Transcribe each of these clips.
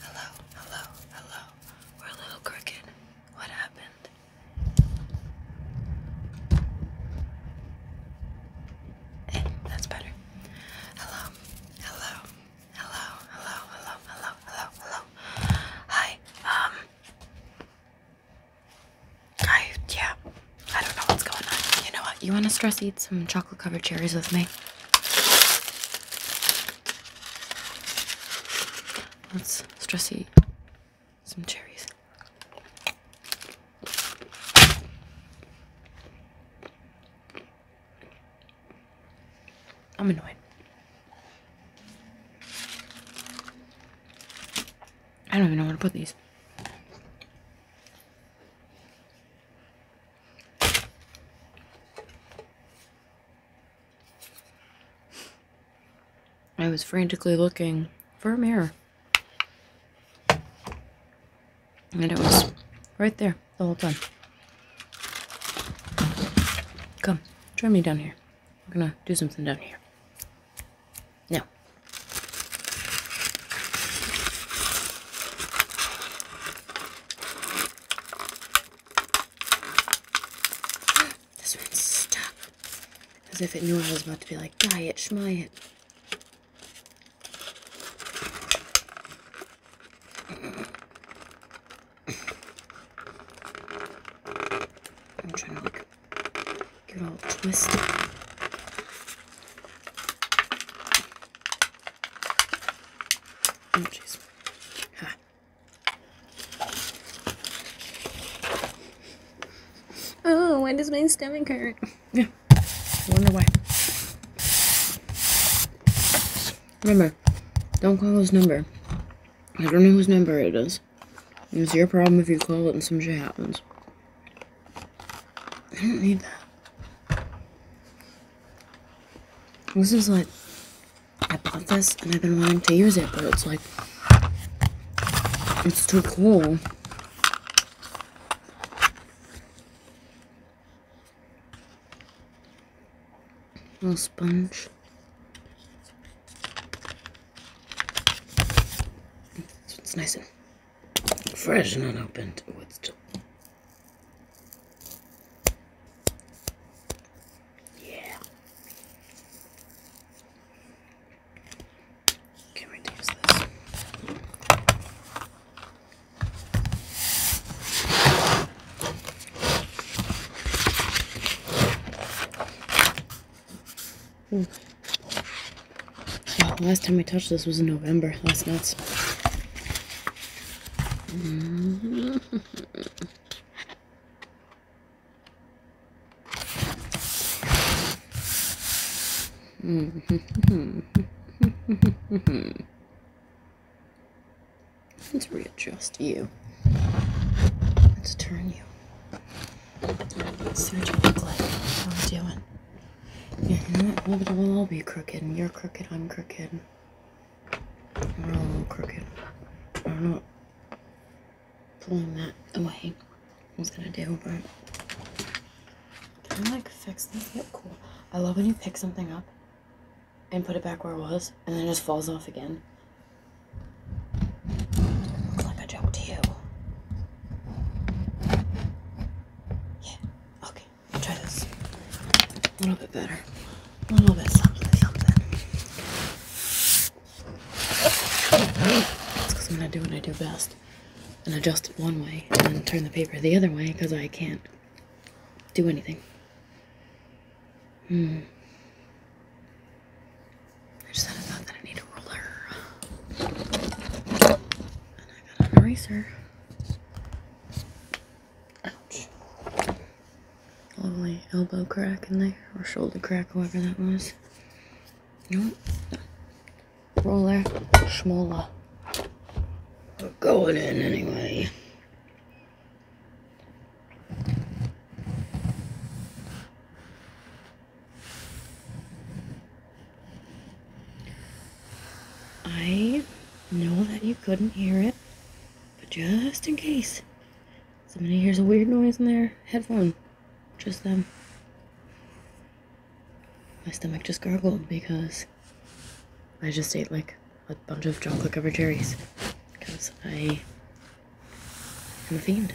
Hello, hello, hello. We're a little crooked. What happened? Hey, eh, that's better. Hello, hello, hello, hello, hello, hello, hello, hello. Hi, um, I, yeah, I don't know what's going on. You know what? You want to stress eat some chocolate covered cherries with me? Let's stress eat some cherries. I'm annoyed. I don't even know where to put these. I was frantically looking for a mirror. And it was right there the whole time. Come, join me down here. We're gonna do something down here. Now, this one's stuck. As if it knew I was about to be like, die it, shmy it. I'm trying to like Get all twisted. Oh, jeez. Oh, why does my stomach hurt? Yeah, I wonder why. Remember, don't call his number. I don't know whose number it is it's your problem if you call it and some shit happens. I don't need that. This is like, I bought this and I've been wanting to use it, but it's like, it's too cool. Little sponge. it's nice Fresh and unopened. Oh, it's Yeah. Can we use this? Hmm. last time I touched this was in November. That's nuts. Let's readjust you. Let's turn you. Let's you look like. How are we doing? Yeah, you We'll, all be crooked. You're crooked, I'm crooked. We're all crooked. I'm not pulling that away. I was gonna do, it? can I like fix this? Yep, cool. I love when you pick something up and put it back where it was, and then it just falls off again. Like a joke to you. Yeah, okay, try this. A little bit better. A little bit something, something. It's because I'm going to do what I do best and adjust it one way and turn the paper the other way because I can't do anything. Hmm. I just had a that I need a ruler, And I got an eraser. Ouch. Lovely elbow crack in there, or shoulder crack, whatever that was. Nope. Roller schmola. We're going in anyway. I know that you couldn't hear it, but just in case somebody hears a weird noise in their headphone, just them. My stomach just gurgled because I just ate like a bunch of chocolate covered cherries because I am a fiend.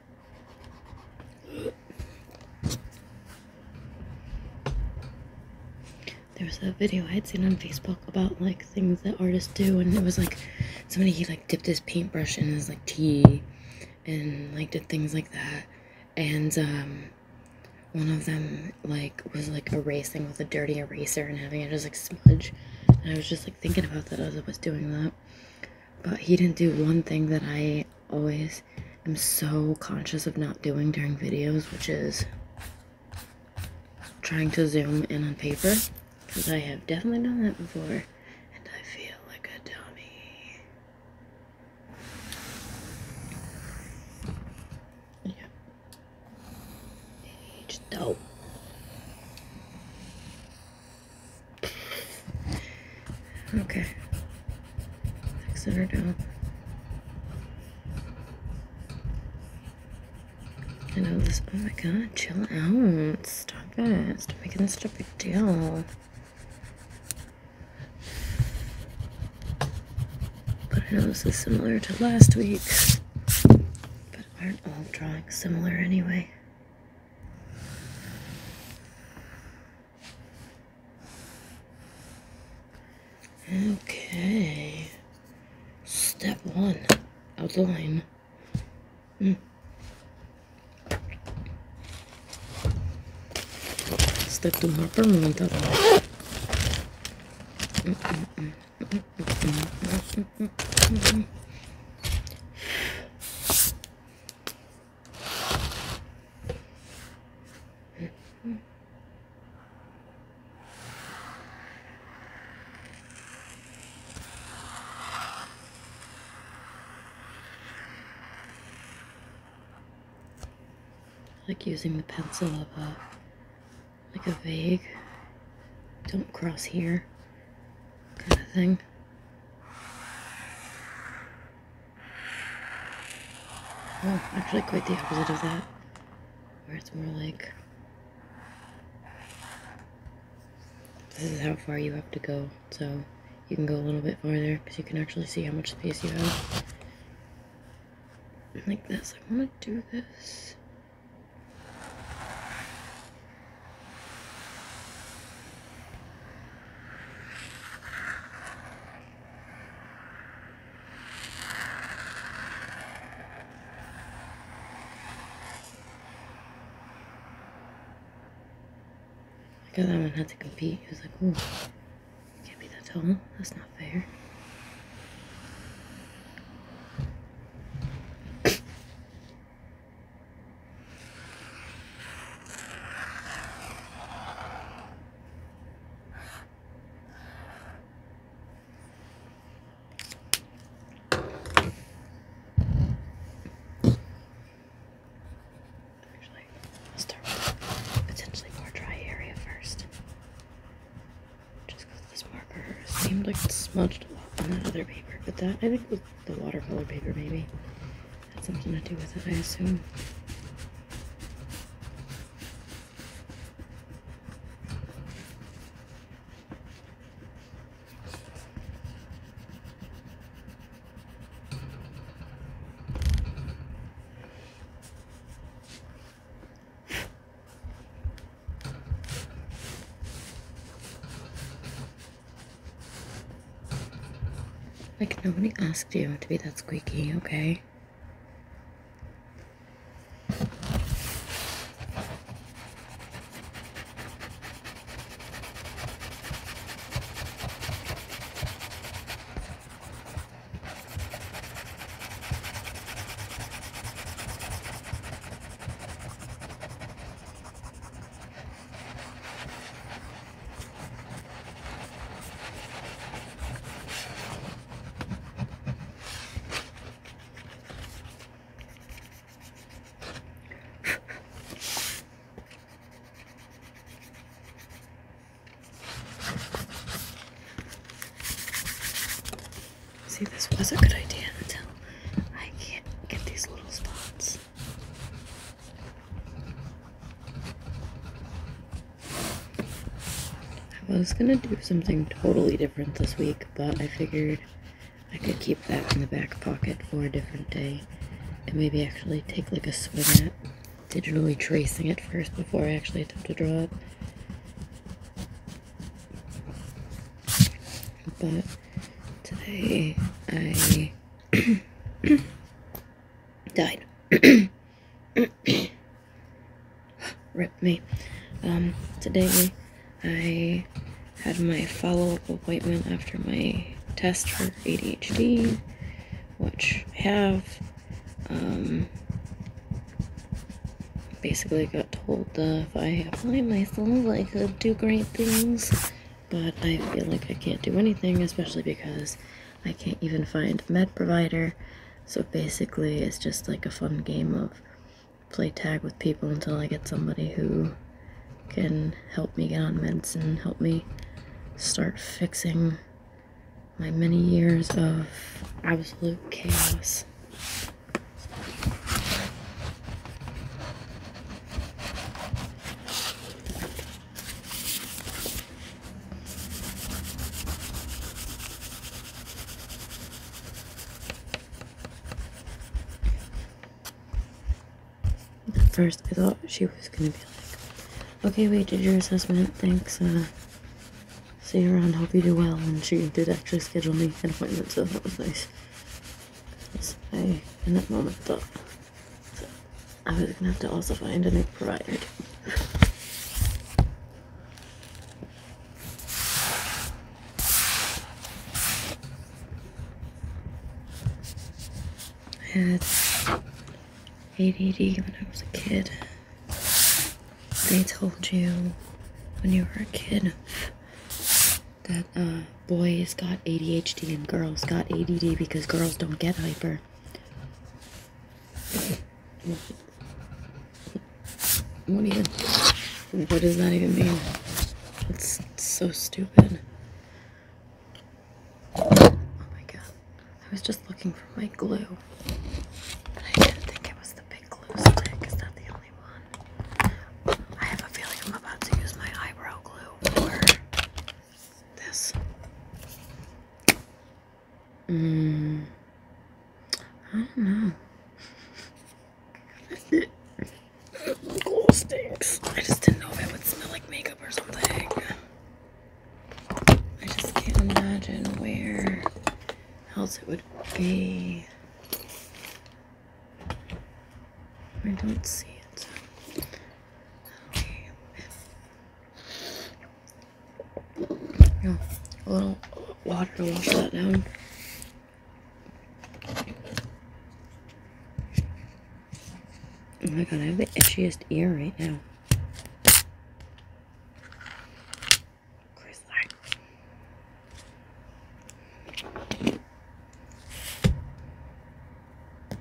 There was a video I had seen on Facebook about like things that artists do, and it was like somebody he like dipped his paintbrush in his like tea, and like did things like that, and um, one of them like was like erasing with a dirty eraser and having it just like smudge, and I was just like thinking about that as I was doing that. But he didn't do one thing that I always am so conscious of not doing during videos, which is trying to zoom in on paper. Because I have definitely done that before. And I feel like a dummy. Yeah. Age dope. Okay. Six hundred down. I know this. Oh my god, chill out. Stop it. Stop making this such a big deal. But I know this is similar to last week. But aren't all drawings similar anyway? Okay. Step one, outline. Mm. Step two, more permanent outline like using the pencil of a like a vague don't cross here kind of thing. Oh, actually quite the opposite of that, where it's more like this is how far you have to go, so you can go a little bit farther because you can actually see how much space you have. Like this, I want to do this. Look at that one had to compete. He was like, ooh, can't be that tall. That's not fair. Actually, start with potentially more dry area first. Just because this marker seemed like it smudged a lot on that other paper, but that I think was the watercolor paper maybe. Had something to do with it, I assume. Like, nobody asked you to be that squeaky, okay? See, this was a good idea until I can't get these little spots. I was gonna do something totally different this week, but I figured I could keep that in the back pocket for a different day and maybe actually take like a swing at digitally tracing it first before I actually attempt to draw it. But today I Died. Ripped me. Um, today I had my follow-up appointment after my test for ADHD, which I have. Um, basically got told that if I apply myself, I could do great things but I feel like I can't do anything, especially because I can't even find a med provider. So basically, it's just like a fun game of play tag with people until I get somebody who can help me get on meds and help me start fixing my many years of absolute chaos. At first, I thought she was gonna be like, okay, wait, did your assessment, thanks, uh, see you around, hope you do well, and she did actually schedule me an appointment, so that was nice. I, in that moment, thought, so I was gonna have to also find a new provider. I had ADD when I was a kid. They told you when you were a kid that uh, boys has got ADHD and girls got ADD because girls don't get hyper. What even? What does that even mean? It's, so stupid. Oh my god. I was just looking for my glue. But I didn't think it was the big glue stick. Is that the only one? I have a feeling I'm about to use my eyebrow glue this. Mm, I don't know. oh, stinks. I just didn't know if it would smell like makeup or something. I just can't imagine where else it would be. I don't see it a little water to wash that down. Oh my god, I have the itchiest ear right now i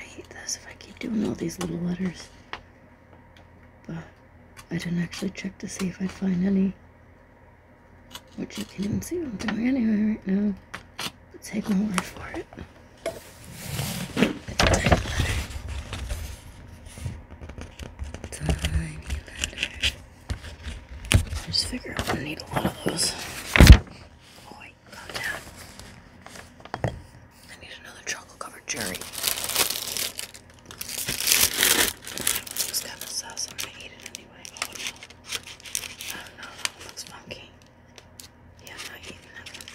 hate this if I keep doing all these little letters. But I didn't actually check to see if I'd find any. Which you can even see what I'm doing anyway right now. take my word for it. I just figure I'm gonna need a lot of those. Oh, it's got the sauce. I'm gonna eat it anyway. Oh no. Oh no, that one looks funky. Yeah, I'm not eating that one.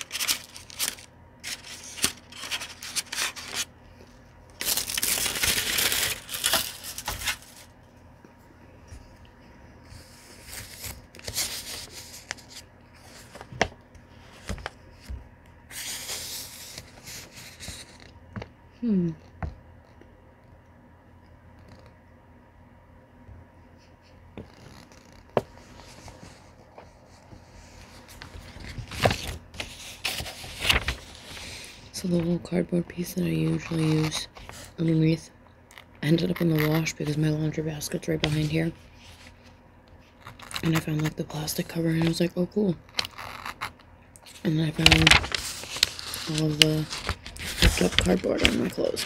Hmm. So the little cardboard piece that I usually use underneath ended up in the wash because my laundry basket's right behind here and I found like the plastic cover and I was like, oh cool. And then I found all the picked up cardboard on my clothes.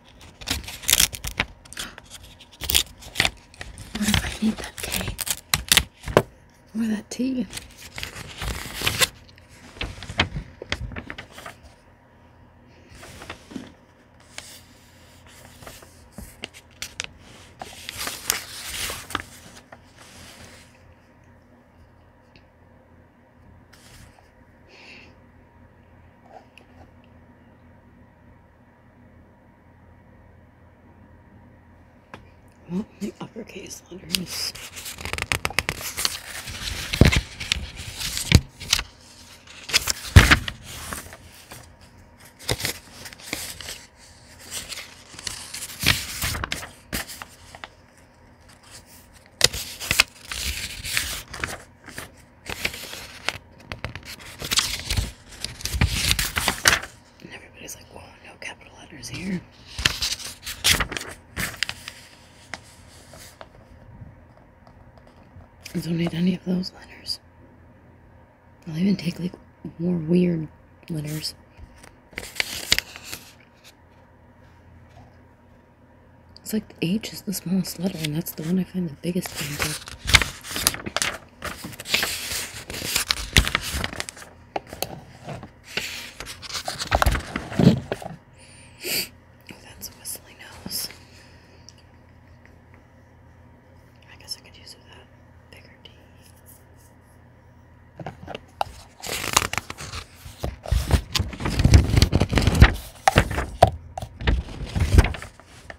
What if I need that cake? Or that tea? Well, the uppercase letters. And everybody's like, whoa, no capital letters here. I don't need any of those letters. I'll even take like more weird letters. It's like the H is the smallest letter, and that's the one I find the biggest Oh, that's a whistly nose. I guess I could use it without bigger teeth.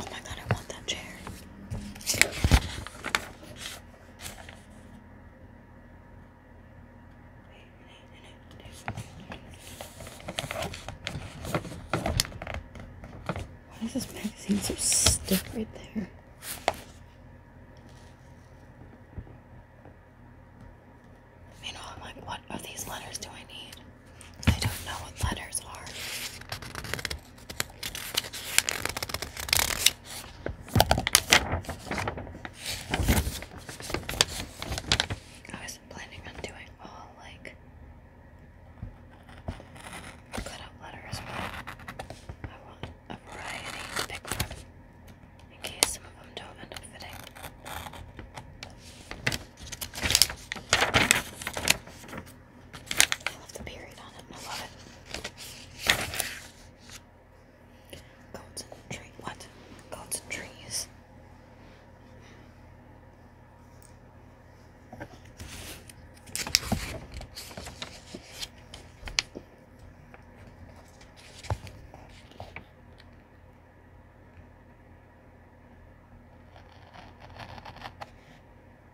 Oh my god, I want that chair. Why is this magazine so stiff right there? You know, I'm like, what of these letters do I need? I don't know what letters are. I wasn't planning on doing all like cut letters, I want a variety to pick in case some of them don't end up fitting. I love the period on it. I love it. Goats and trees. What? Goats and trees.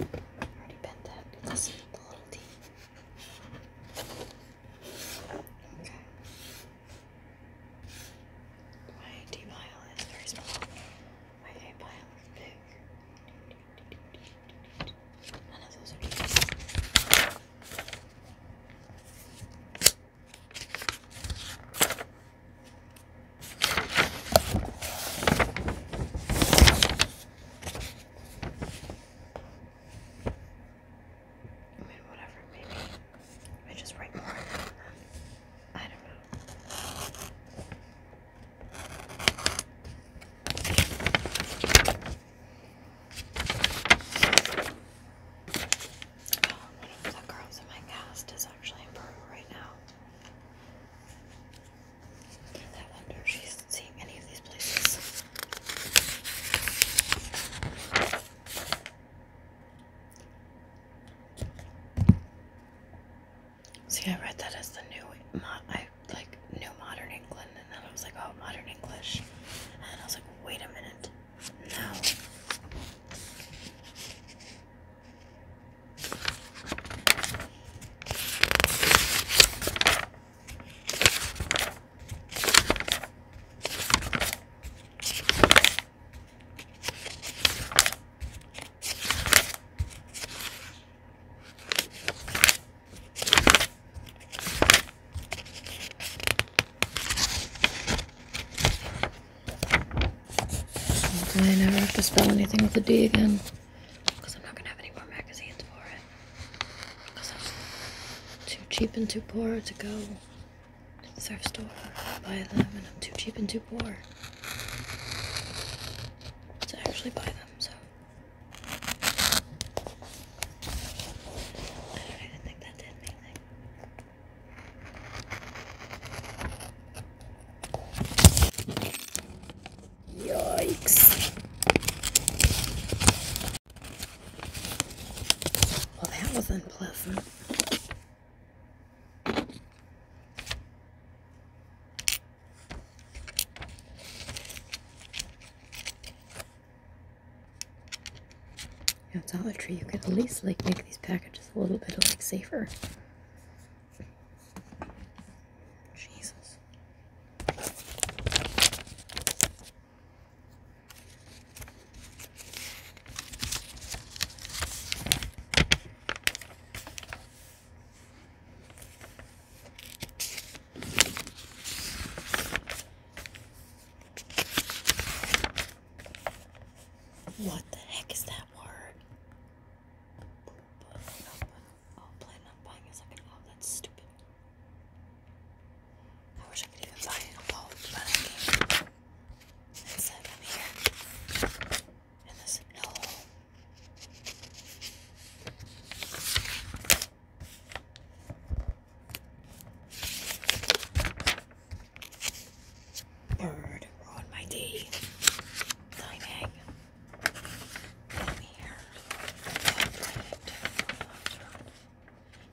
I already bent that. Let's the little D. Okay. My D pile is very small. My A pile is big. None of those are I mean, whatever, maybe I just write more. I don't know. Oh, one the girls in my cast is actually in Peru right now. See, I read that as the new, I like new modern England, and then I was like, oh, modern English, and I was like, wait a minute, no. I never have to spell anything with a D again because I'm not gonna have any more magazines for it because I'm too cheap and too poor to go to the thrift store and buy them, and I'm too cheap and too poor to actually buy them. So I don't even think that did anything. Yikes. Well, that was unpleasant. You Dollar Tree, you could at least like make these packages a little bit like safer. Jesus. What the heck is that word? Oh, plan on buying a second. Oh, that's stupid. I wish I could even buy a boat, but here. And this no. Bird ruined my day. Dying.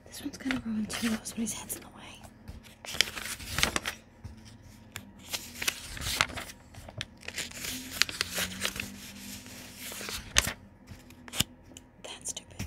This one's gonna ruin too, somebody's head's in the way. That's too big.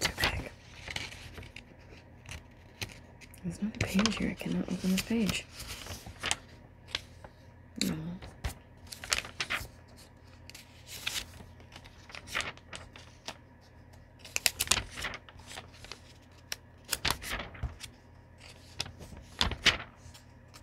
Too big. There's another page here. I cannot open this page. No.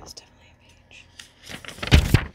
It's definitely a page.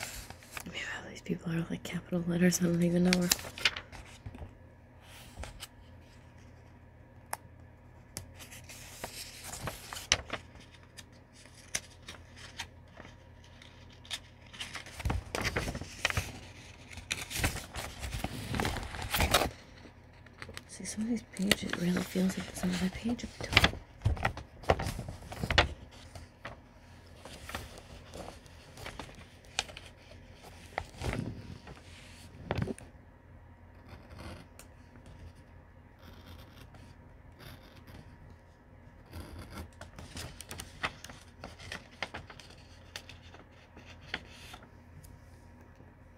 I these people are like capital letters. I don't even know where. See, some of these pages, really feels like there's another page at the top.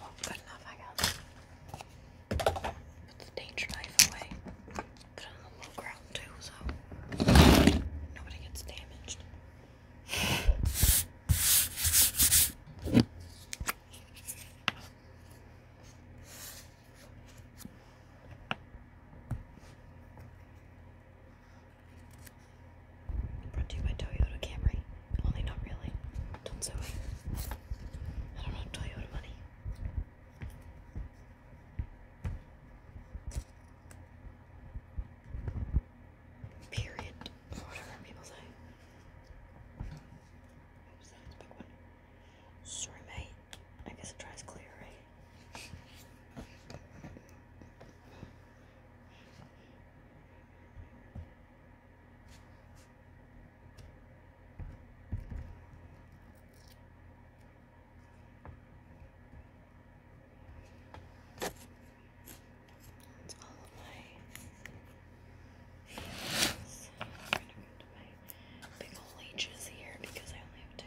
Well, good enough, I guess. Put the danger knife away. Put it on the low ground too, so nobody gets damaged. Brought to you by Toyota Camry. Only not really. Don't sue I don't have Toyota money. Period. whatever people say. Sorry, mate. I guess it dries clear, right? That's all of my so I'm gonna go my big old leeches here because I only have two.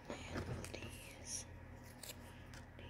and these, these, D, D, D. D.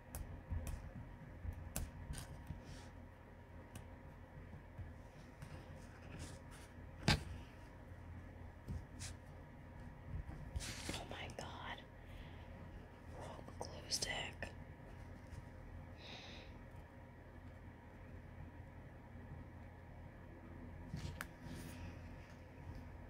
Oh my god. glue stick.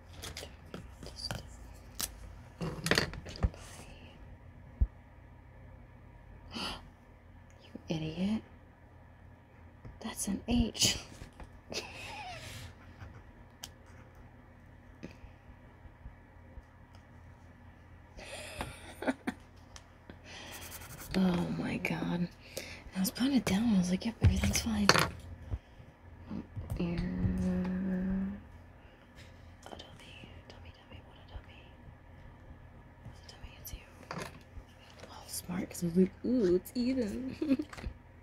you idiot. That's an H. oh my god. I was putting it down. I was like, yep, everything's fine. Mm, a dummy, dummy, dummy, what a dummy. What's a dummy? It's you. Oh, smart, because I was like, ooh, it's Eden.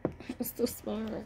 I was so smart.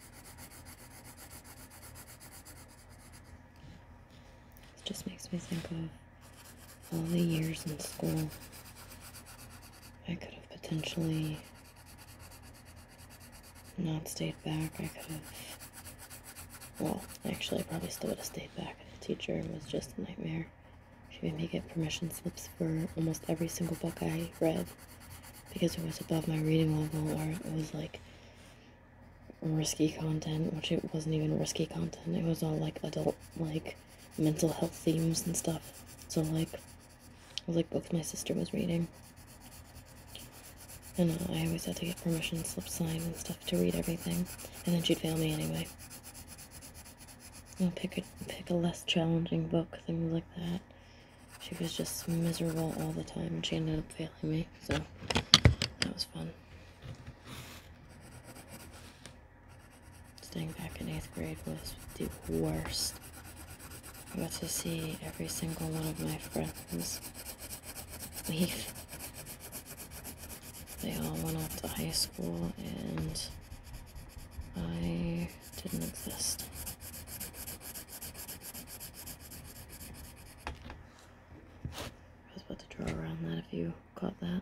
It just makes me think of all the years in school I could have potentially not stayed back. I could have, well, actually, I probably still would have stayed back. The teacher was just a nightmare. She made me get permission slips for almost every single book I read because it was above my reading level or it was like risky content, which it wasn't even risky content. It was all like adult, like mental health themes and stuff. So like, like both my sister was reading, and uh, I always had to get permission slip signed and stuff to read everything, and then she'd fail me anyway. i know, pick a pick a less challenging book, things like that she was just miserable all the time. and She ended up failing me, so that was fun. Staying back in 8th grade was the worst. I got to see every single one of my friends leave. They all went off to high school and I didn't exist. I was about to draw around that if you caught that.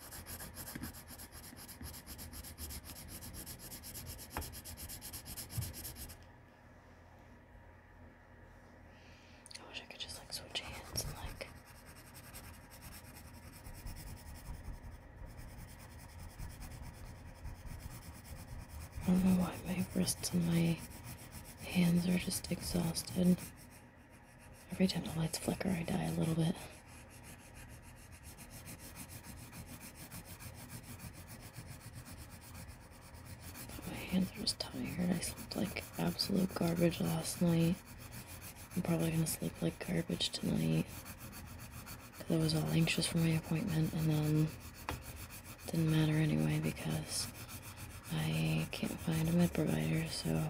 I wish I could just like switch hands like I don't know why my wrists and my hands are just exhausted. Every time the lights flicker, I die a little bit. my hands are just tired. I slept like absolute garbage last night. I'm probably gonna sleep like garbage tonight. Cause I was all anxious for my appointment and then it didn't matter anyway because I can't find a med provider, so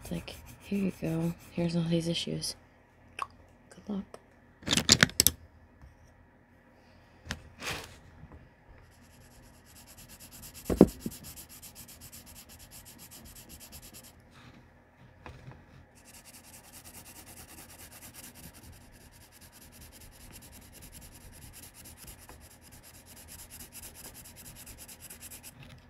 it's like here you go. Here's all these issues. Good luck.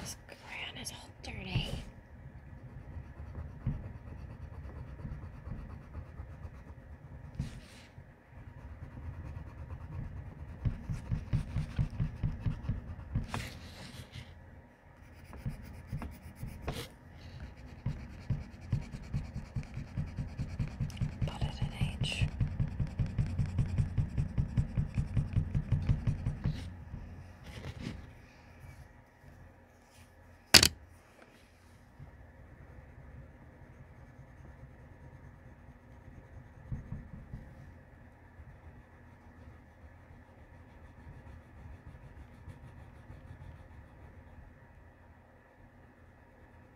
this crayon is all dirty. Put it in H.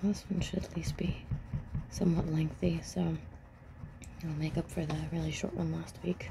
This one should at least be somewhat lengthy, so it'll make up for the really short one last week.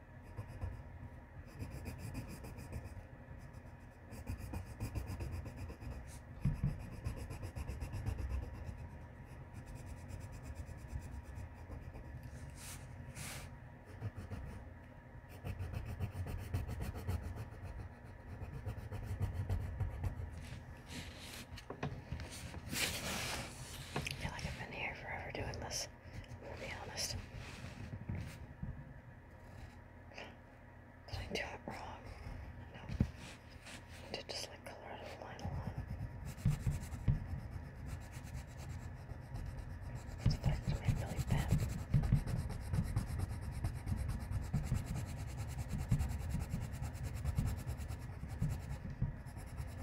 I feel like I've been here forever doing this. I'll be honest. Did I do it wrong? No. I did just like color out line a It's starting to make really bad.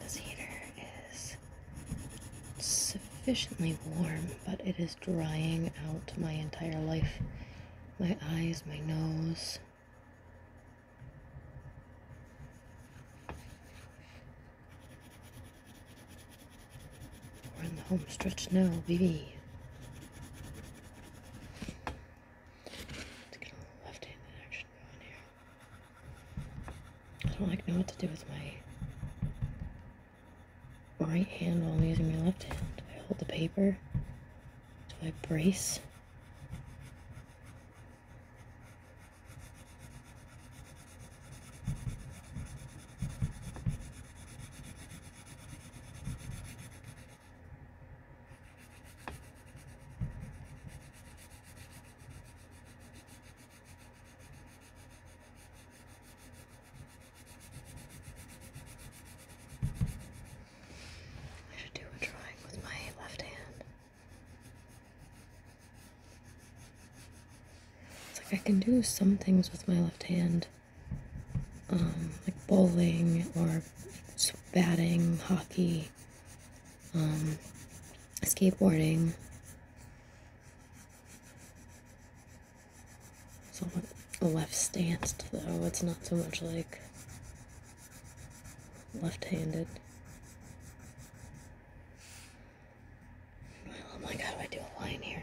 This heater is sufficiently warm, but it is drying out my entire life my eyes, my nose. We're in the home stretch now, baby let get a left handed action going here. I don't like know what to do with my right hand while I'm using my left hand. I hold the paper? Do I brace? I should do a drawing with my left hand. It's like I can do some things with my left hand, um, like bowling or batting, hockey, um, skateboarding. So, Somewhat left stanced, though. It's not so much like left handed. Oh well, I'm do I do a line here?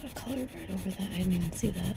Put a color right over that. I didn't even see that.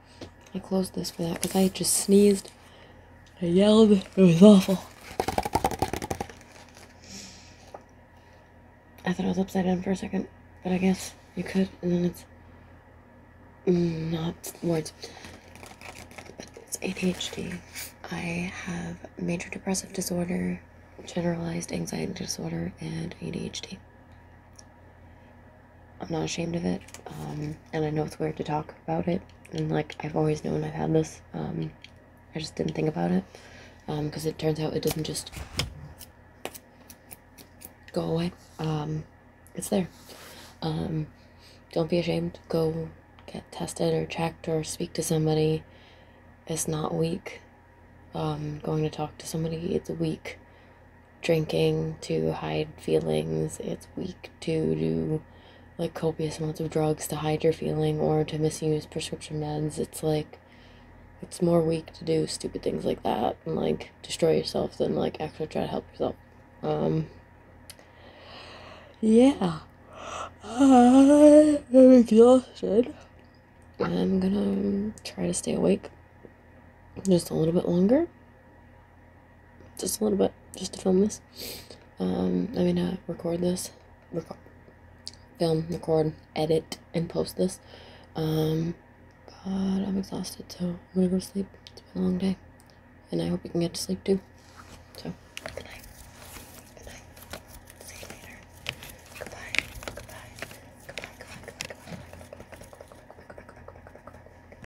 I closed this for that because I just sneezed. I yelled. It was awful. I thought I was upside down for a second, but I guess you could, and then it's not words. But it's ADHD. I have major depressive disorder, generalized anxiety disorder, and ADHD. I'm not ashamed of it, um, and I know it's weird to talk about it. And like I've always known I've had this, um, I just didn't think about it, because um, it turns out it doesn't just go away. it's there. don't be ashamed. Go get tested or checked or speak to somebody. It's not weak. going to talk to somebody, it's weak drinking to hide feelings. It's weak to do like copious amounts of drugs to hide your feeling or to misuse prescription meds. It's like it's more weak to do stupid things like that and like destroy yourself than like actually try to help yourself. Um, yeah. I'm exhausted. I'm gonna try to stay awake just a little bit longer just a little bit, just to film this. Um, I mean, uh, record this, film, record, edit, and post this. but I'm exhausted, so I'm gonna go to sleep. It's been a long day, and I hope you can get to sleep too. So, good night. Good night. See you later. Goodbye. Goodbye. Goodbye. Goodbye. Goodbye. Goodbye. Goodbye. Goodbye. Goodbye. Goodbye. Goodbye. Goodbye. Goodbye. Goodbye.